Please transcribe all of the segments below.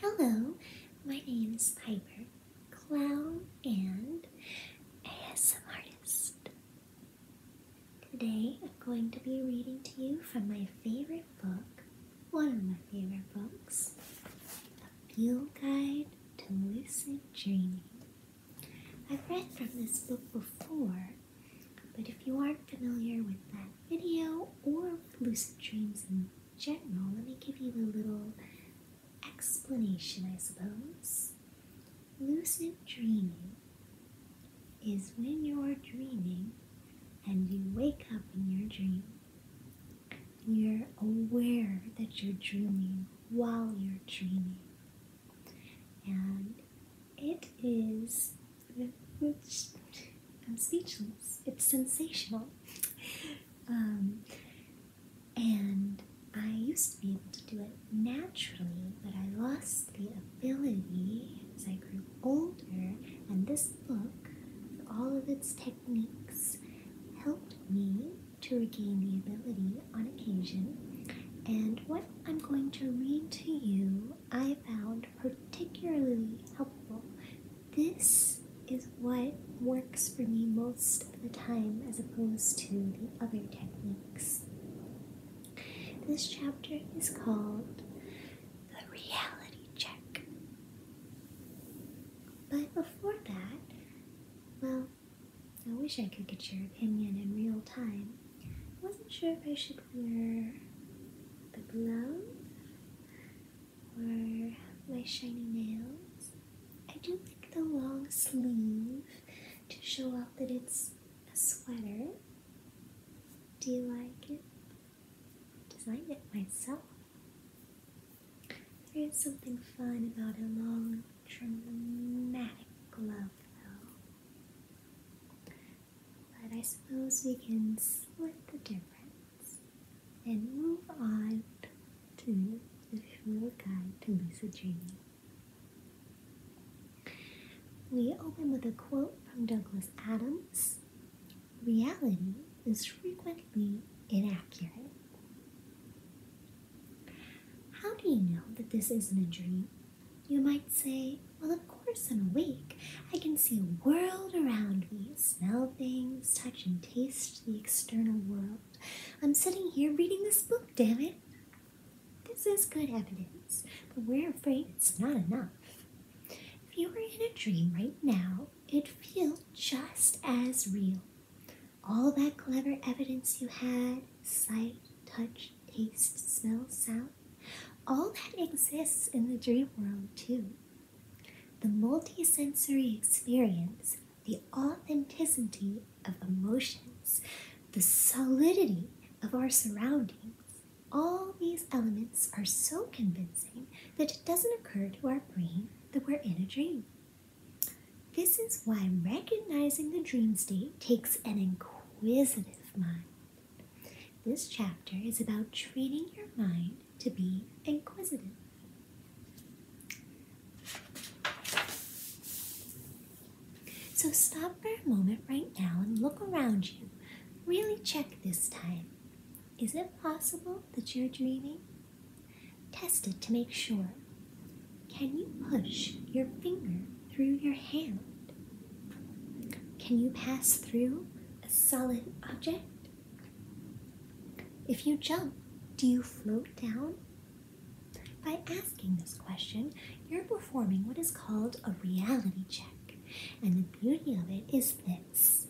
Hello, my name is Piper, clown and ASM artist. Today I'm going to be reading to you from my favorite book, one of my favorite books, A Fuel Guide to Lucid Dreaming. I've read from this book before, but if you aren't familiar with that video or lucid dreams in general, let me give you a little explanation, I suppose. Lucid dreaming is when you're dreaming and you wake up in your dream. You're aware that you're dreaming while you're dreaming. And it is I'm speechless. It's sensational. Um, and I used to be able to do it naturally, but I lost the ability as I grew older, and this book, with all of its techniques, helped me to regain the ability on occasion. And what I'm going to read to you I found particularly helpful. This is what works for me most of the time as opposed to the other techniques. This chapter is called The Reality Check. But before that, well, I wish I could get your opinion in real time. I wasn't sure if I should wear the glove or my shiny nails. I do like the long sleeve to show off that it's a sweater. Do you like it? I designed it myself. There is something fun about a long, dramatic glove, though. But I suppose we can split the difference and move on to the Visual Guide to Lucid Dreaming. We open with a quote from Douglas Adams Reality is frequently inaccurate. How do you know that this isn't a dream? You might say, well, of course, I'm awake. I can see a world around me, smell things, touch and taste the external world. I'm sitting here reading this book, damn it. This is good evidence, but we're afraid it's not enough. If you were in a dream right now, it'd feel just as real. All that clever evidence you had sight, touch, taste, smell, sound all that exists in the dream world, too. The multisensory experience, the authenticity of emotions, the solidity of our surroundings, all these elements are so convincing that it doesn't occur to our brain that we're in a dream. This is why recognizing the dream state takes an inquisitive mind. This chapter is about training your mind to be inquisitive. So stop for a moment right now and look around you. Really check this time. Is it possible that you're dreaming? Test it to make sure. Can you push your finger through your hand? Can you pass through a solid object? If you jump, do you float down? By asking this question, you're performing what is called a reality check. And the beauty of it is this.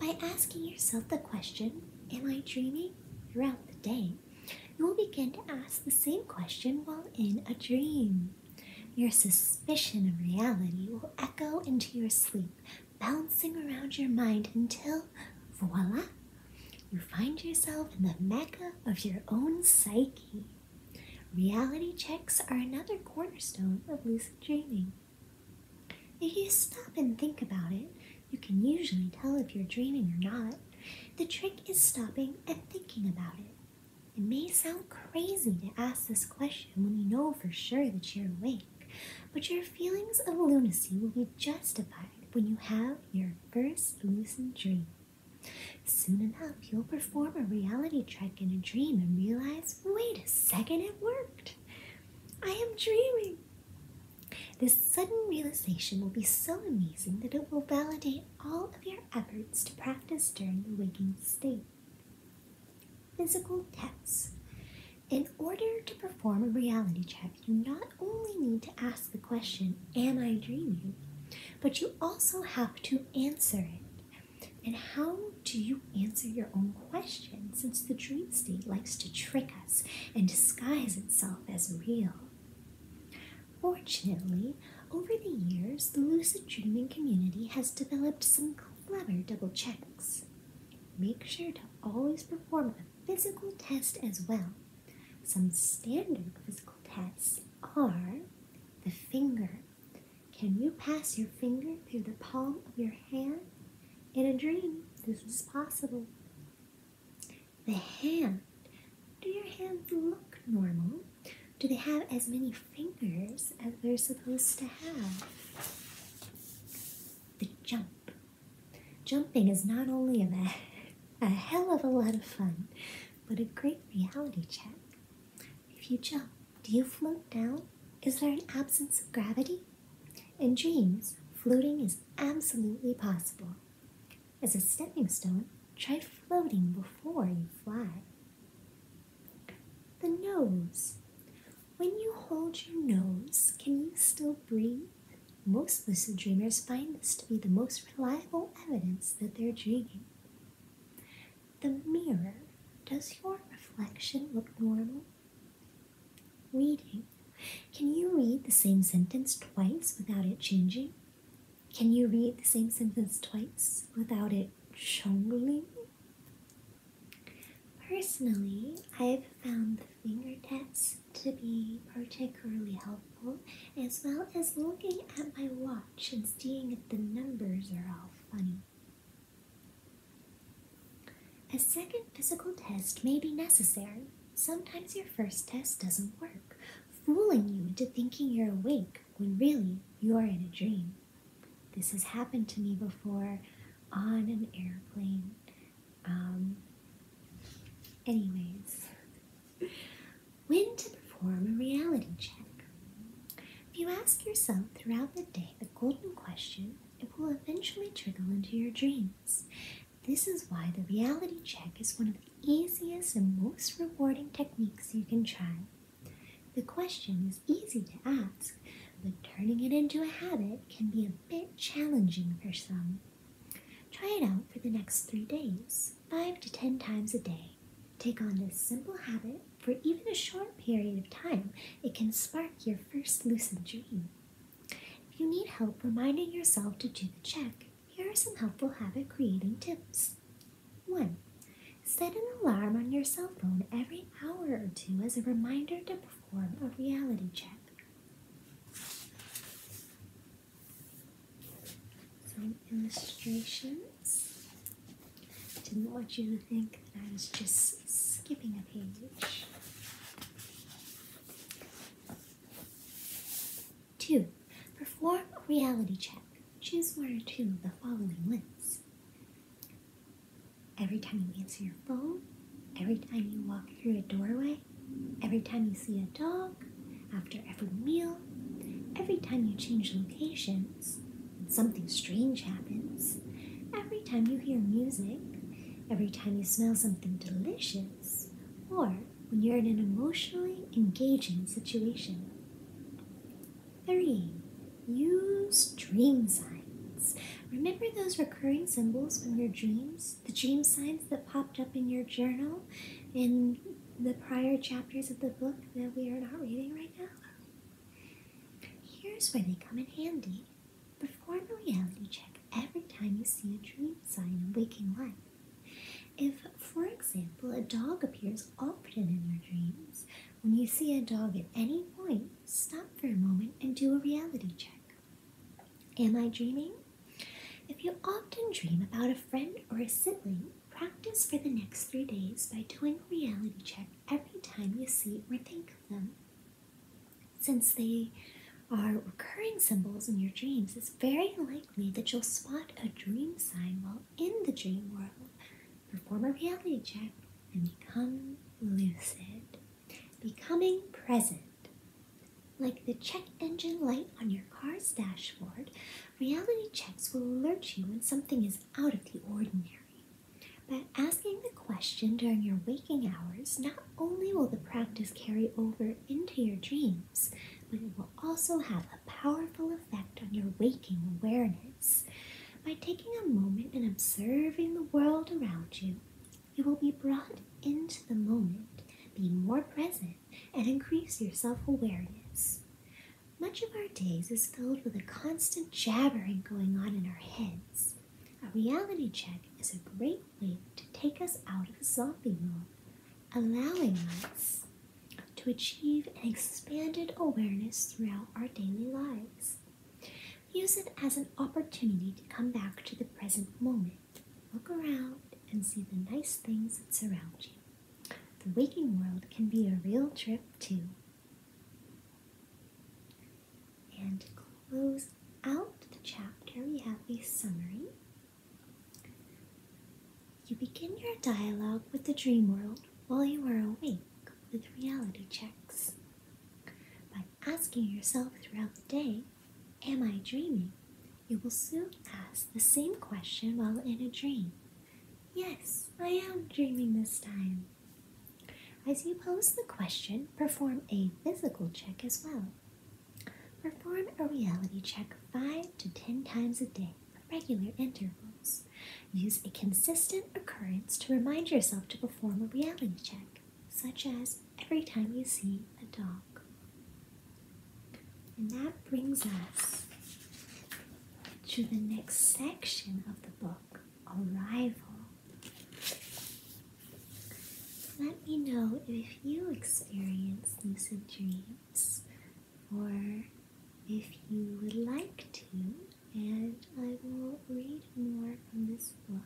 By asking yourself the question, Am I dreaming? throughout the day, you will begin to ask the same question while in a dream. Your suspicion of reality will echo into your sleep, bouncing around your mind until, voila, you find yourself in the mecca of your own psyche. Reality checks are another cornerstone of lucid dreaming. If you stop and think about it, you can usually tell if you're dreaming or not. The trick is stopping and thinking about it. It may sound crazy to ask this question when you know for sure that you're awake, but your feelings of lunacy will be justified when you have your first lucid dream. Soon enough, you'll perform a reality check in a dream and realize wait a second, it worked! I am dreaming! This sudden realization will be so amazing that it will validate all of your efforts to practice during the waking state. Physical tests. In order to perform a reality check, you not only need to ask the question, Am I dreaming? but you also have to answer it. And how do you answer your own question since the dream state likes to trick us and disguise itself as real? Fortunately, over the years, the lucid dreaming community has developed some clever double checks. Make sure to always perform a physical test as well. Some standard physical tests are the finger. Can you pass your finger through the palm of your hand? In a dream, this was possible. The hand. Do your hands look normal? do they have as many fingers as they're supposed to have? The jump. Jumping is not only a, a hell of a lot of fun, but a great reality check. If you jump, do you float down? Is there an absence of gravity? In dreams, floating is absolutely possible. As a stepping stone, try floating before you fly. The nose. When you hold your nose, can you still breathe? Most lucid dreamers find this to be the most reliable evidence that they're dreaming. The mirror. Does your reflection look normal? Reading. Can you read the same sentence twice without it changing? Can you read the same sentence twice without it jungling? Personally, I've found the finger taps to be particularly helpful, as well as looking at my watch and seeing if the numbers are all funny. A second physical test may be necessary. Sometimes your first test doesn't work, fooling you into thinking you're awake when really you are in a dream. This has happened to me before on an airplane. Um, anyways, when to perform a reality check. If you ask yourself throughout the day the golden question, it will eventually trickle into your dreams. This is why the reality check is one of the easiest and most rewarding techniques you can try. The question is easy to ask, but turning it into a habit can be a bit challenging for some. Try it out for the next three days, five to ten times a day. Take on this simple habit for even a short period of time, it can spark your first lucid dream. If you need help reminding yourself to do the check, here are some helpful habit creating tips. 1. Set an alarm on your cell phone every hour or two as a reminder to perform a reality check. Some illustrations. Didn't want you to think that I was just skipping a page. 2. Perform a reality check. Choose one or two of the following lists. Every time you answer your phone, every time you walk through a doorway, every time you see a dog, after every meal, every time you change locations, and something strange happens, every time you hear music, every time you smell something delicious, or when you're in an emotionally engaging situation. Three, use dream signs. Remember those recurring symbols from your dreams? The dream signs that popped up in your journal in the prior chapters of the book that we are not reading right now? Here's where they come in handy. Perform a reality check every time you see a dream sign in waking life. If, for example, a dog appears often in your dreams, when you see a dog at any point, stop for a moment and do a reality check. Am I dreaming? If you often dream about a friend or a sibling, practice for the next three days by doing a reality check every time you see or think of them. Since they are recurring symbols in your dreams, very likely that you'll spot a dream sign while in the dream world, perform a reality check, and become lucid. Becoming present. Like the check engine light on your car's dashboard, reality checks will alert you when something is out of the ordinary. By asking the question during your waking hours, not only will the practice carry over into your dreams but it will also have a powerful effect on your waking awareness. By taking a moment and observing the world around you, you will be brought into the moment, be more present, and increase your self awareness. Much of our days is filled with a constant jabbering going on in our heads. A reality check is a great way to take us out of the zombie mode, allowing us to achieve an expanded awareness throughout our daily lives. Use it as an opportunity to come back to the present moment. Look around and see the nice things that surround you. The waking world can be a real trip, too. And close out the chapter, we have a summary you begin your dialogue with the dream world while you are awake with reality checks. By asking yourself throughout the day, Am I dreaming? you will soon ask the same question while in a dream. Yes, I am dreaming this time. As you pose the question, perform a physical check as well. Perform a reality check 5 to 10 times a day regular intervals. Use a consistent occurrence to remind yourself to perform a reality check, such as every time you see a dog. And that brings us to the next section of the book, Arrival. Let me know if you experience lucid dreams or if you would like to, and I will read more from this book.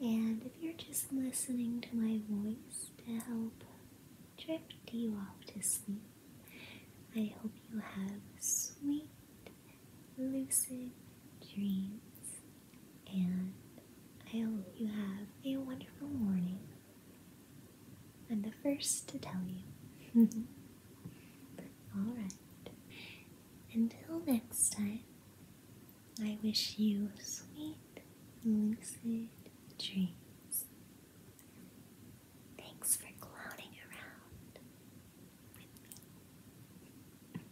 And if you're just listening to my voice to help drift you off to sleep, I hope you have sweet, lucid dreams, and I hope you have a wonderful morning. I'm the first to tell you. Alright. Until next time, I wish you sweet, lucid dreams. Thanks for clowning around with me.